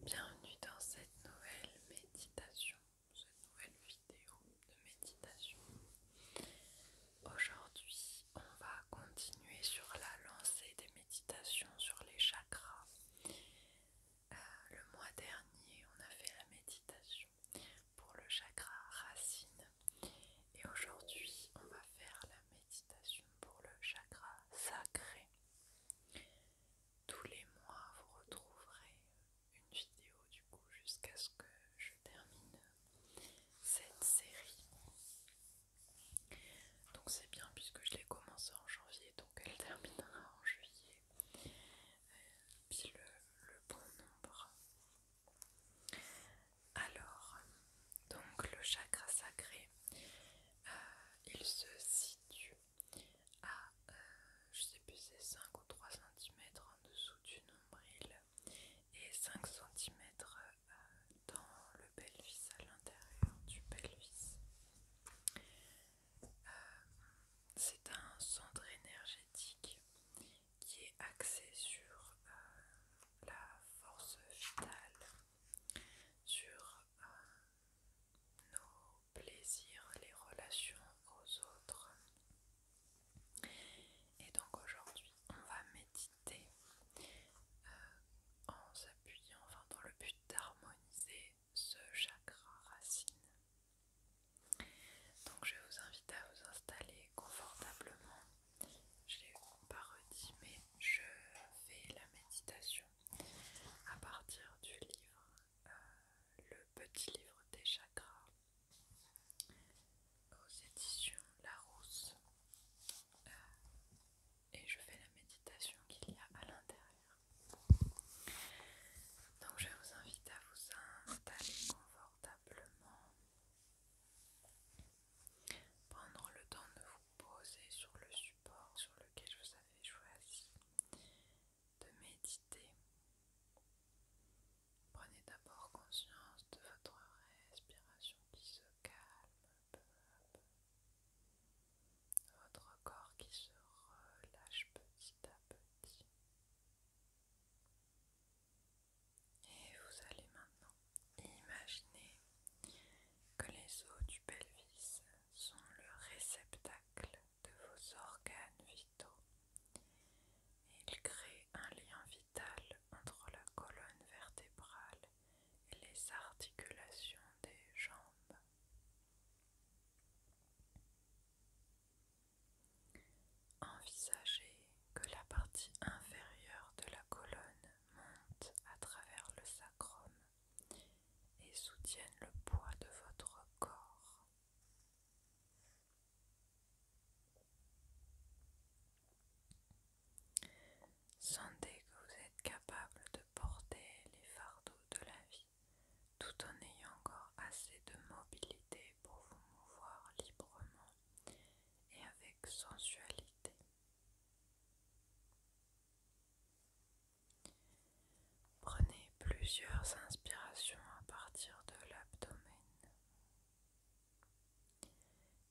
Bienvenue dans cette nouvelle méditation, cette nouvelle vidéo de méditation. Aujourd'hui, on va continuer sur la lancée des méditations sur les chakras. Euh, le mois dernier, on a fait la méditation pour le chakra racine et aujourd'hui, on va faire méditation pour le chakra sacré. Tous les mois, vous retrouverez une vidéo du coup jusqu'à ce que je termine cette série. Donc c'est bien puisque je l'ai commencé en janvier, donc elle terminera en juillet. Euh, Puis le bon nombre. Alors, donc le chakra sacré, euh, il se situe à, euh, je sais plus, c'est 5 ou 3 cm en dessous du nombril et 5 cm euh, dans le pelvis, à l'intérieur du pelvis. c'est un centre énergétique qui est axé sur la force vitale sur euh, nos plaisirs, les relations aux autres. Et donc aujourd'hui, on va méditer euh, en s'appuyant, enfin dans le but d'harmoniser ce chakra racine. Donc je vous invite à vous installer confortablement je l'ai pas redit, mais je fais la méditation à partir du livre, euh, le petit livre des chakras aux éditions Larousse. Euh, et je fais la méditation qu'il y a à l'intérieur. Donc je vous invite à vous installer confortablement. Prendre le temps de vous poser sur le support sur lequel vous avez choisi de méditer. Prenez d'abord conscience de votre respiration qui se calme peu à peu. Votre corps qui se relâche petit à petit. Et vous allez maintenant imaginer que les os du pelvis sont le réceptacle de vos organes vitaux. Ils créent un lien vital entre la colonne vertébrale et les articulations des jambes. Envisagez que la partie inférieure de la colonne monte à travers le sacrum et soutienne le poids de votre corps. Sentez que vous êtes capable de porter les fardeaux de la vie tout en ayant encore assez de mobilité pour vous mouvoir librement et avec sensualité. Prenez plusieurs inspirations à partir de l'abdomen.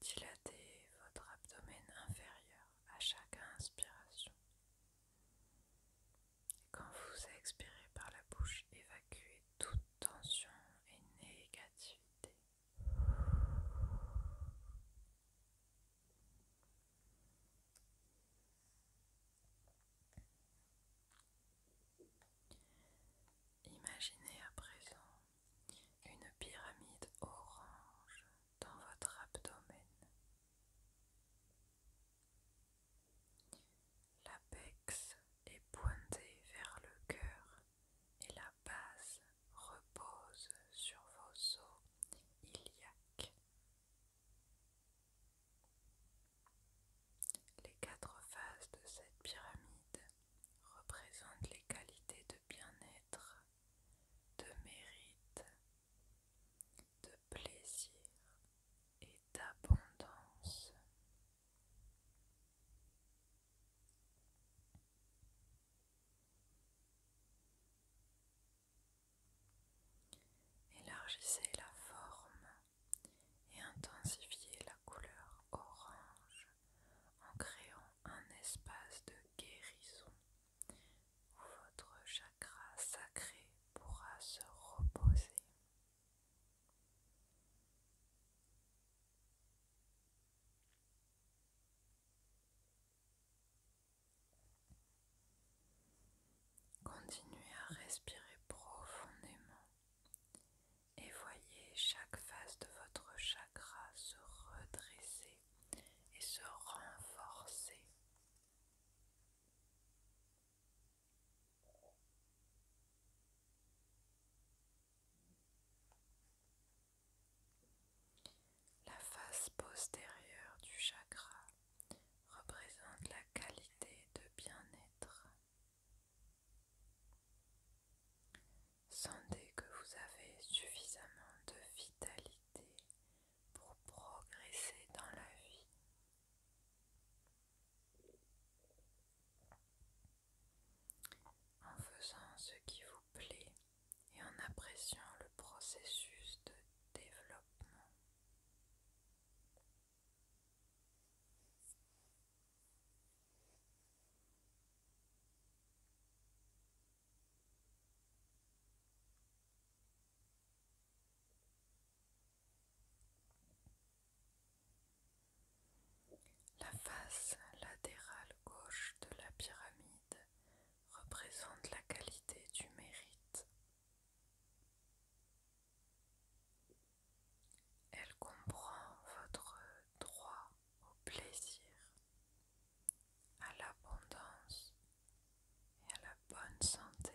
Dilatez votre abdomen inférieur à chaque inspiration. Quand vous expirez par la bouche, évacuez toute tension et négativité. Imaginez à présent une pyramide orange dans votre abdomen. L'apex est pointé vers le cœur et la base repose sur vos os iliaques. Les quatre faces de cette pyramide représentent les qualités de bien-être, de mérite, de plaisir et d'abondance Élargissez la forme et intensifiez la couleur orange en créant un espace de guérison où votre chakra sacré pourra se reposer. Continuez à respirer profondément et voyez chaque face de votre chakra se redresser et se renforcer. La face postérieure du chakra représente la qualité de bien-être. Sentez que vous avez suffisamment de vitalité pour progresser dans la vie en faisant ce qui vous plaît et en appréciant le processus de développement. La face latérale gauche de la pyramide représente la qualité du mérite. Elle comprend votre droit au plaisir, à l'abondance et à la bonne santé.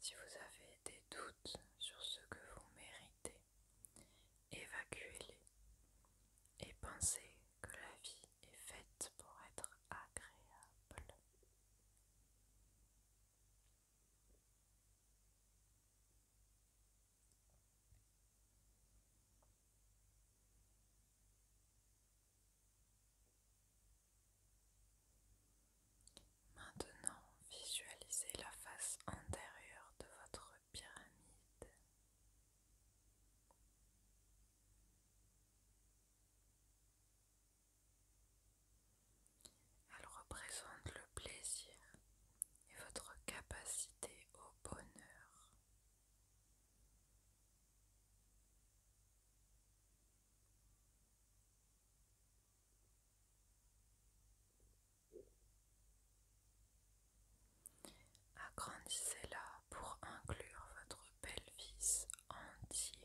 Si vous avez des doutes sur ce que vous méritez, évacuez-les et pensez que la vie est faite pour être agréable. Maintenant, visualisez la face antérieure de votre pyramide. Elle représente le plaisir et votre capacité au bonheur. Agrandissez-la pour inclure votre pelvis entier.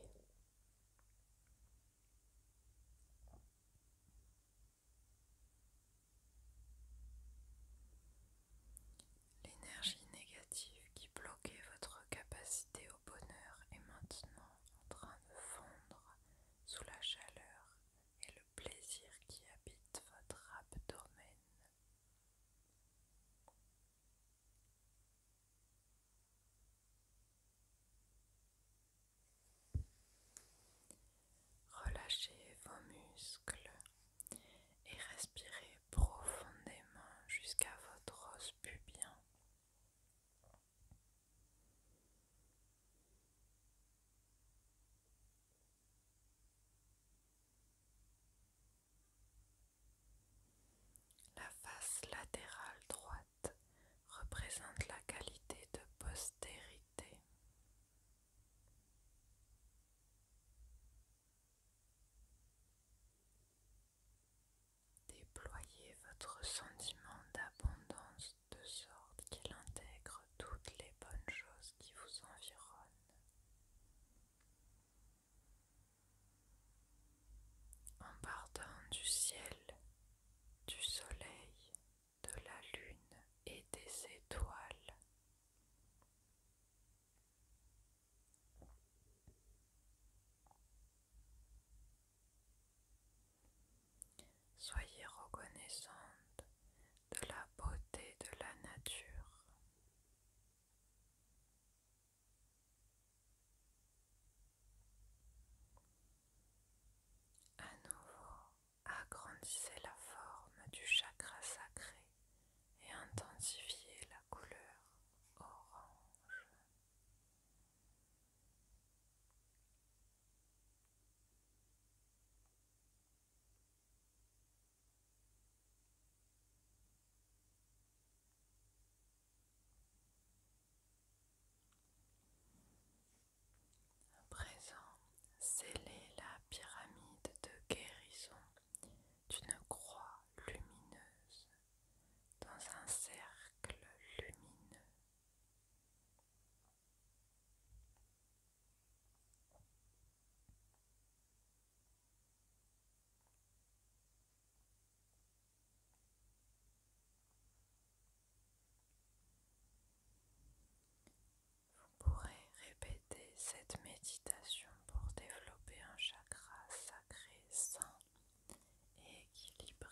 L'énergie négative qui bloquait votre capacité au bonheur est maintenant en train de fondre sous la chaleur et le plaisir qui habite votre abdomen. Relâchez vos muscles, et respirez profondément jusqu'à votre os pubien. La face latérale droite représente la qualité de postérité. Déployez votre sentiment d'abondance de sorte qu'il intègre toutes les bonnes choses qui vous environnent. En partant du ciel, du soleil, de la lune et des étoiles, Soyez reconnaissante de la beauté de la nature. À nouveau, agrandissez la forme du chakra sacré et intensifier la couleur orange. À présent, scellez la pyramide de guérison d'une croix lumineuse dans un cercle lumineux. Vous pourrez répéter cette méditation pour développer un chakra sacré, sain et équilibré.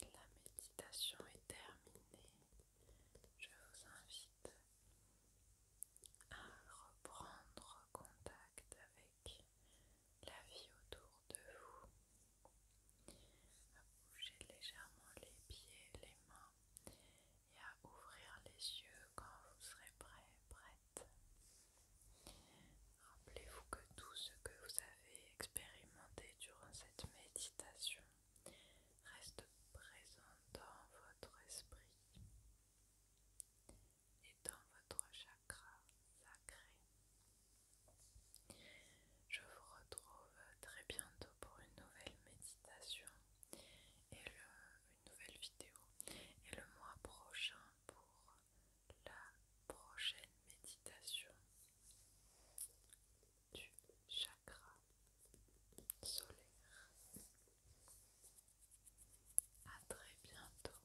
La méditation est terminée. Je vous invite à reprendre contact avec la vie autour de vous. À bouger légèrement les pieds, les mains et à ouvrir les yeux quand vous serez prêt, prête. Rappelez-vous que tout ce que vous avez expérimenté durant cette méditation reste présent dans votre esprit et dans votre chakra chakra sacré. Je vous retrouve très bientôt pour une nouvelle méditation et une nouvelle vidéo et le mois prochain pour la prochaine méditation du chakra solaire. À très bientôt.